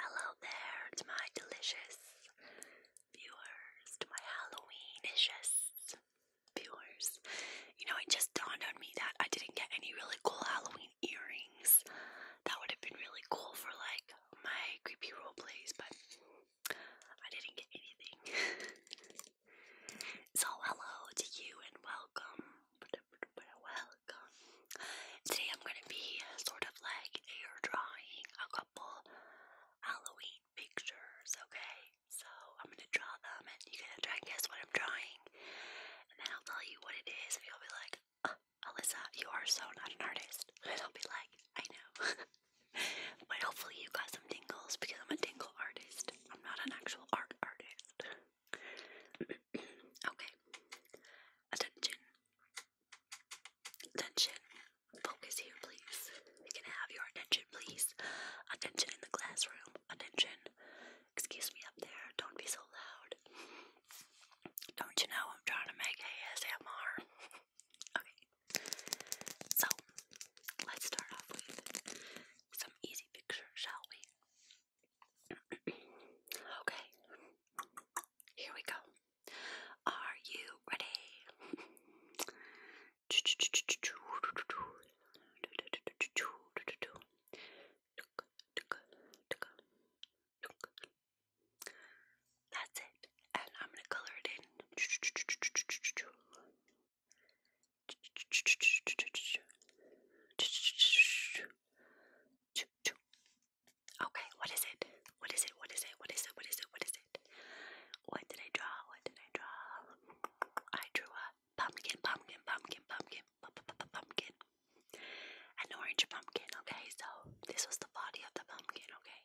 Hello there to my delicious viewers, to my Halloweenishes viewers. You know, it just dawned on me that I didn't get any really cool Halloween earrings. That would have been really cool for like my creepy role plays, but I didn't get anything. So hello to you and welcome, welcome. Today I'm going to be sort of like air drawing a couple Halloween pictures, okay? So I'm going to draw them and you're going to try and guess what I'm drawing. And then I'll tell you what it is and you'll be like, uh, Alyssa, you are so not an artist. And I'll be like, I know. but hopefully you got some tingles because I'm a tingle artist. I'm not an actual art artist. okay. Attention. Attention. Focus here, please. We can have your attention, please. Attention in the classroom. Attention. Excuse me up there. Don't be so loud. Don't you know I'm trying to make ASMR? okay. So, let's start off with some easy pictures, shall we? okay, here we go. Are you ready? That's it, and I'm gonna color it in. Okay, what is it? What is it? What is it? What is it? What is it? What is it? What did I draw? What did I draw? I drew a pumpkin, pumpkin, pumpkin, pumpkin, pumpkin, an orange pumpkin. Okay, so this was the body of the pumpkin. Okay,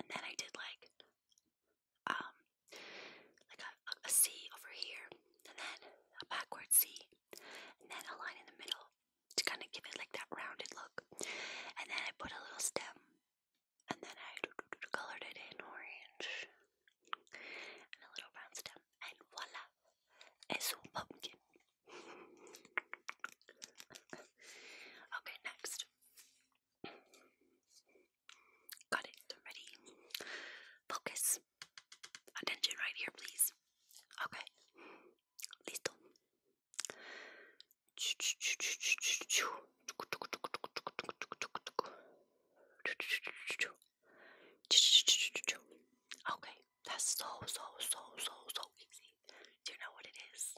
and then I did like um, like a, a, a C over here, and then a backward C, and then a line in the middle to kind of give it like that rounded look. And then I put a little stem, and then I colored it in orange, and a little round stem, and voila, it's a pumpkin. okay, next. Got it. I'm ready. Focus. Attention right here, please. Okay. Listo. Okay. That's so, so, so, so, so easy. Do you know what it is?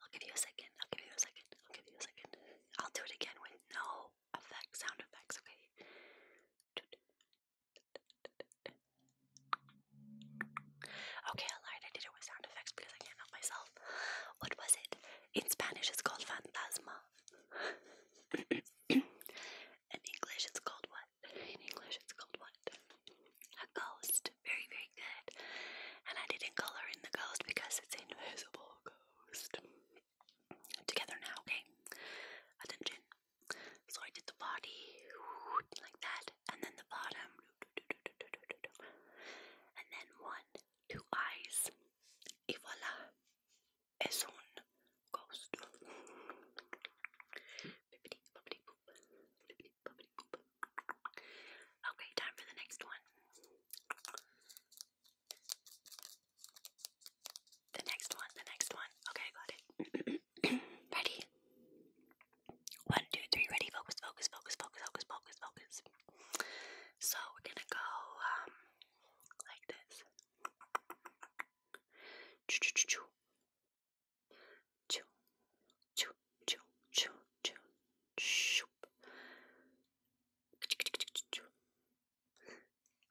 I'll give you a second. I'll give you a second. I'll give you a second. I'll do it again with no effect sound effects, okay? Okay, I lied. I did it with sound effects because I can't help myself. What was it? In Spanish, it's called fantasma. In English, it's called what? In English, it's called what? A ghost. Very, very good. And I didn't color in the ghost because it's invisible ghost. Together now, okay? Attention. So I did the body like that, and then the bottom, and then one, two eyes. Y voila, es un ghost. Okay, time for the next one. The next one, the next one. Okay, got it. ready? One, two, three, ready, focus, focus, focus, focus, focus, focus, focus. So we're gonna go um like this. Choo choo choo choo. Choo choo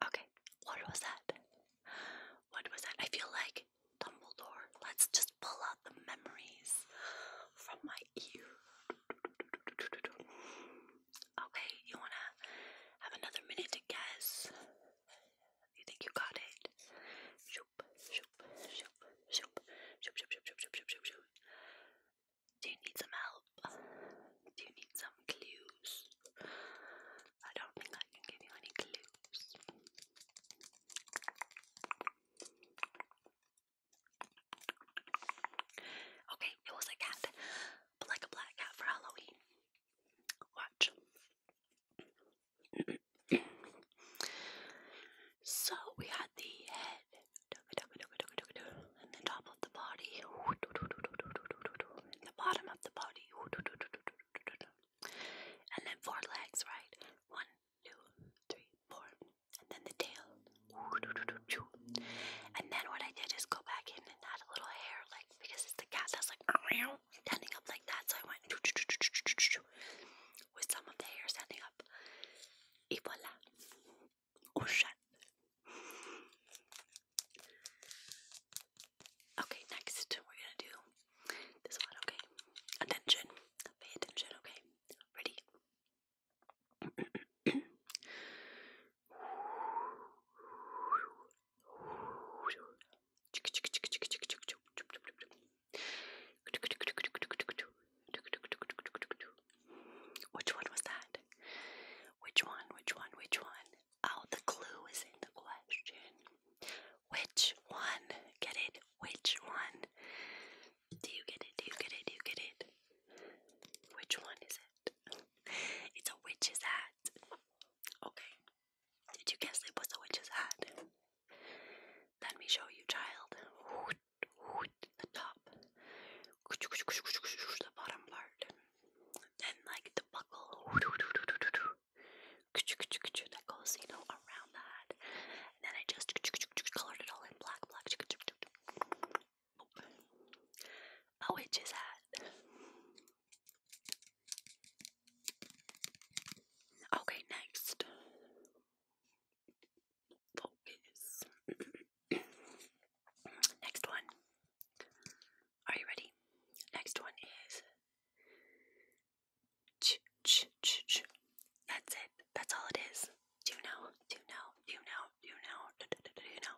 Okay, what was that? What was that? I feel like Dumbledore. Let's just pull out the memories from my ear. Okay, you wanna have another minute to guess? You think you got it? Do you need some help? Do you need some clues? I don't think I can give you any clues. Okay, it was a cat, but like a black cat for Halloween. Watch so we had the head and the top of the body and the bottom of the body and then four legs, right? One, two, three, four. And then the tail. And then what I did is go back in and add a little hair, like because it's the cat that's like standing up like that. So I went with some of the hair standing up. Et voilà, on Okay, next we're gonna do this one, okay? Attention, pay attention, okay? Ready? Which one was that? Which one? Which one? Which one? Oh, the clue is in the question. Which one? Get it? Which one? Do you get it? Do you get it? Do you get it? Which one is it? It's a witch's hat. Okay. Did you guess it was a witch's hat? Let me show you, child. The top, the bottom part, then like the buckle that goes, you know, around that. And then I just colored it all in black, black. A witch's hat. Okay, next. Focus. Next one. Are you ready? Next one is That's it. That's all it is. Do you know? Do you know? Do you know? Do you know? Do, you know?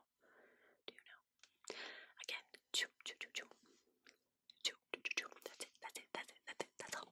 Do you know? Again. That's it. That's it. That's it. That's it. That's all.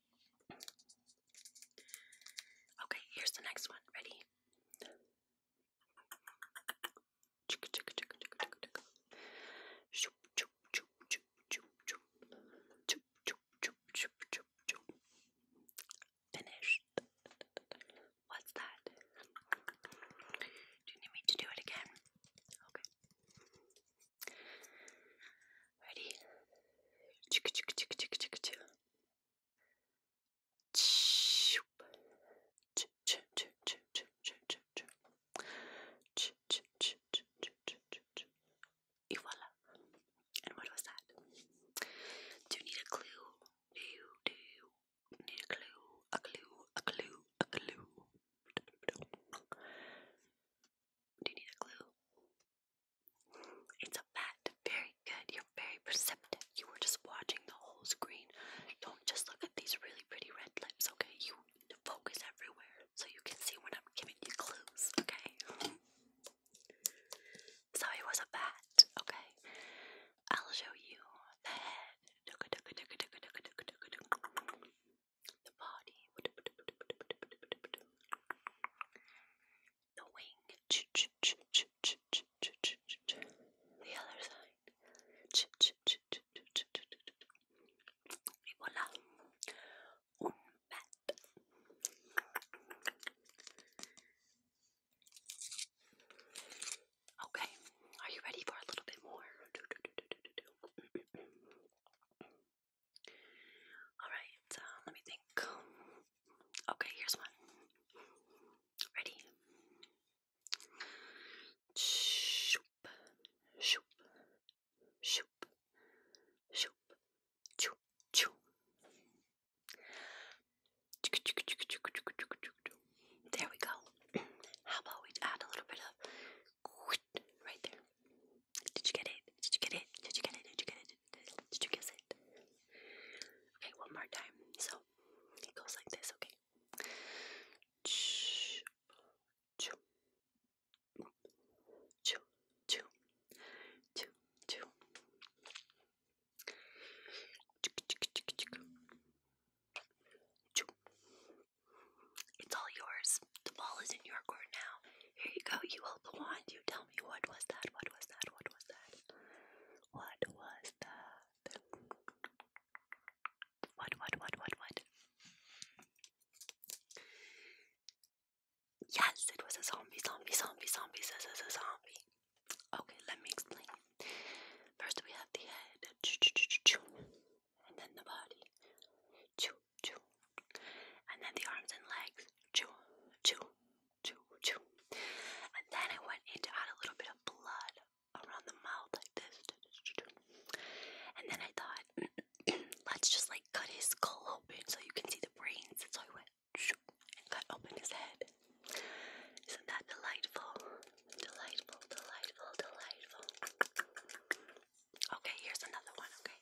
Okay, here's the next one. Ready? Finished. What's that? Do you need me to do it again? Okay. Ready? Chik chik chik chik chik chik. Et voila. And what was that? Do you need a clue? Do you do you need a clue? A clue, a clue, a clue. Do you need a clue? It's a bat. Very good. You're very perceptive. You were just watching the whole screen. Don't just look at these really pretty red lips, okay? You need to focus everywhere so you can see when I'm giving you clues, okay? So it was a bat, okay? I'll show you the head the body, the wing, the other side, y voilà, un bat. Okay, are you ready for a little bit more? Alright, uh, let me think. Okay, here's one. Ready? Shoop, shoop, shoop, shoop, choo, choo. There we go. How about we add a little bit of right there? Did you get it? Did you get it? Did you get it? Did you get it? Did you guess it? Okay, one more time. So it goes like this, okay? Choo, choo, choo, choo, choo, choo. Choo, choo, choo, choo. Choo, it's all yours. The ball is in your court now. Here you go. You hold the wand. You tell me what was that? What was that? What was that? What was that? What, what, what, what, what? Yes, it was a zombie, zombie, zombie, zombie, says a zombie. Okay, let me explain. First, we have the head, and then the body choo. And then the arms and legs, choo, choo, choo, choo. And then I went in to add a little bit of blood around the mouth like this. And then I thought, let's just like cut his skull open so you can see the brains. So I went and cut open his head. Isn't that delightful? Delightful, delightful, delightful. Okay, here's another one, okay?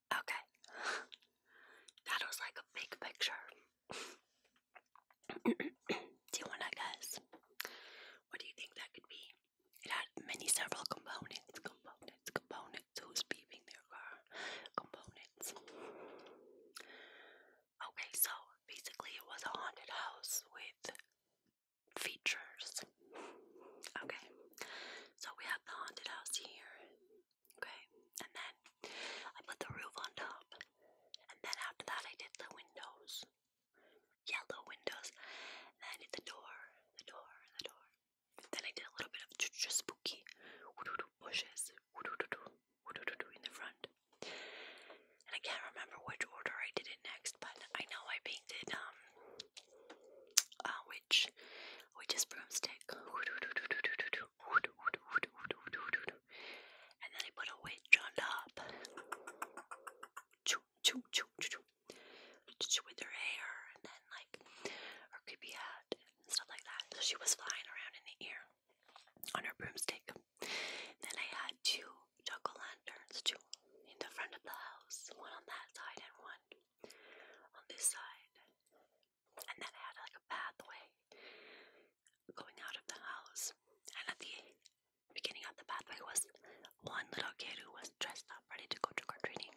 Okay. That was like a big picture. do you want to guess? What do you think that could be? It had many several components, components, components. Who's beeping their car? Components. Okay, so basically it was a haunted house with features Okay, so we have the haunted house here. Okay, and then I put the roof on top, and then after that, I did the windows yellow windows, and then I did the door, the door, the door. Then I did a little bit of just spooky bushes in the front. And I can't remember which order I did it next, but I know I painted um uh, which which is broomstick. And then I put a witch on top. With her hair and then like her creepy hat and stuff like that. So she was flying around in the air on her broomstick. Then I had two jack lanterns, two in the front of the house, one on that side and one on this side, and then I had like a pathway going out of the house. And at the beginning of the pathway was one little kid who was dressed up, ready to go trick or treating.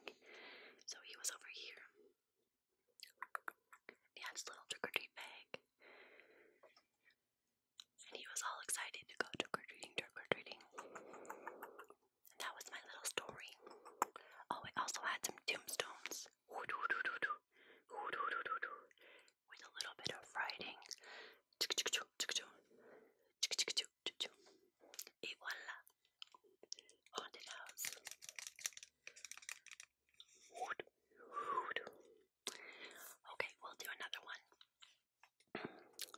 So he was over here. He had his little trick or treat bag, and he was all excited to go trick or treating, trick or treating that was my little story. Oh, I also had some tombstones with a little bit of writing. Et voila! Haunted house. Okay, we'll do another one.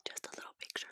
Just a little picture.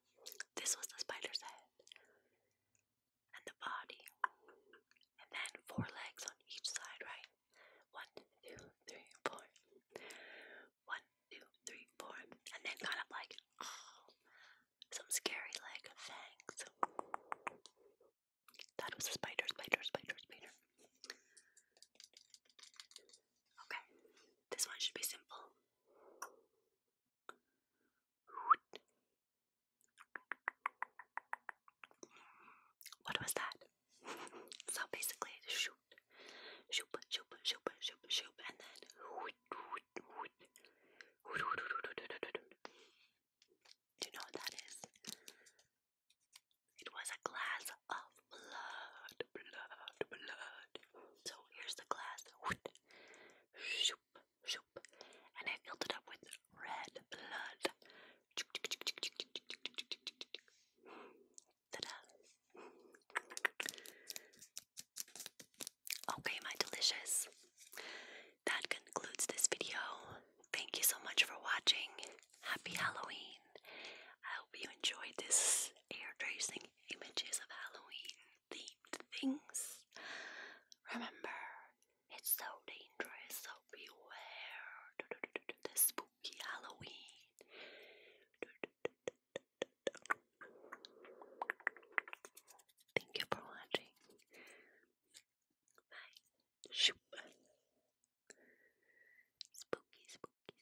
This was the spider's head and the body, and then four legs on each side, right? One, two, three, four. One, two, three, four, and then kind of like oh, some scary like fangs. That was a spider, spider, spider, spider. Okay, this one should be simple. What was that? so basically, you know that is? It was a glass of blood, blood, blood. So here's the glass. And I filled it up with red blood. Okay, my delicious. That concludes this video. Thank you so much for watching. Happy Halloween. I hope you enjoyed this air tracing images of Halloween themed things. Remember, it's so dangerous, so beware. the spooky Halloween. Thank you for watching. Bye. Shoop. Spooky, spooky, spooky.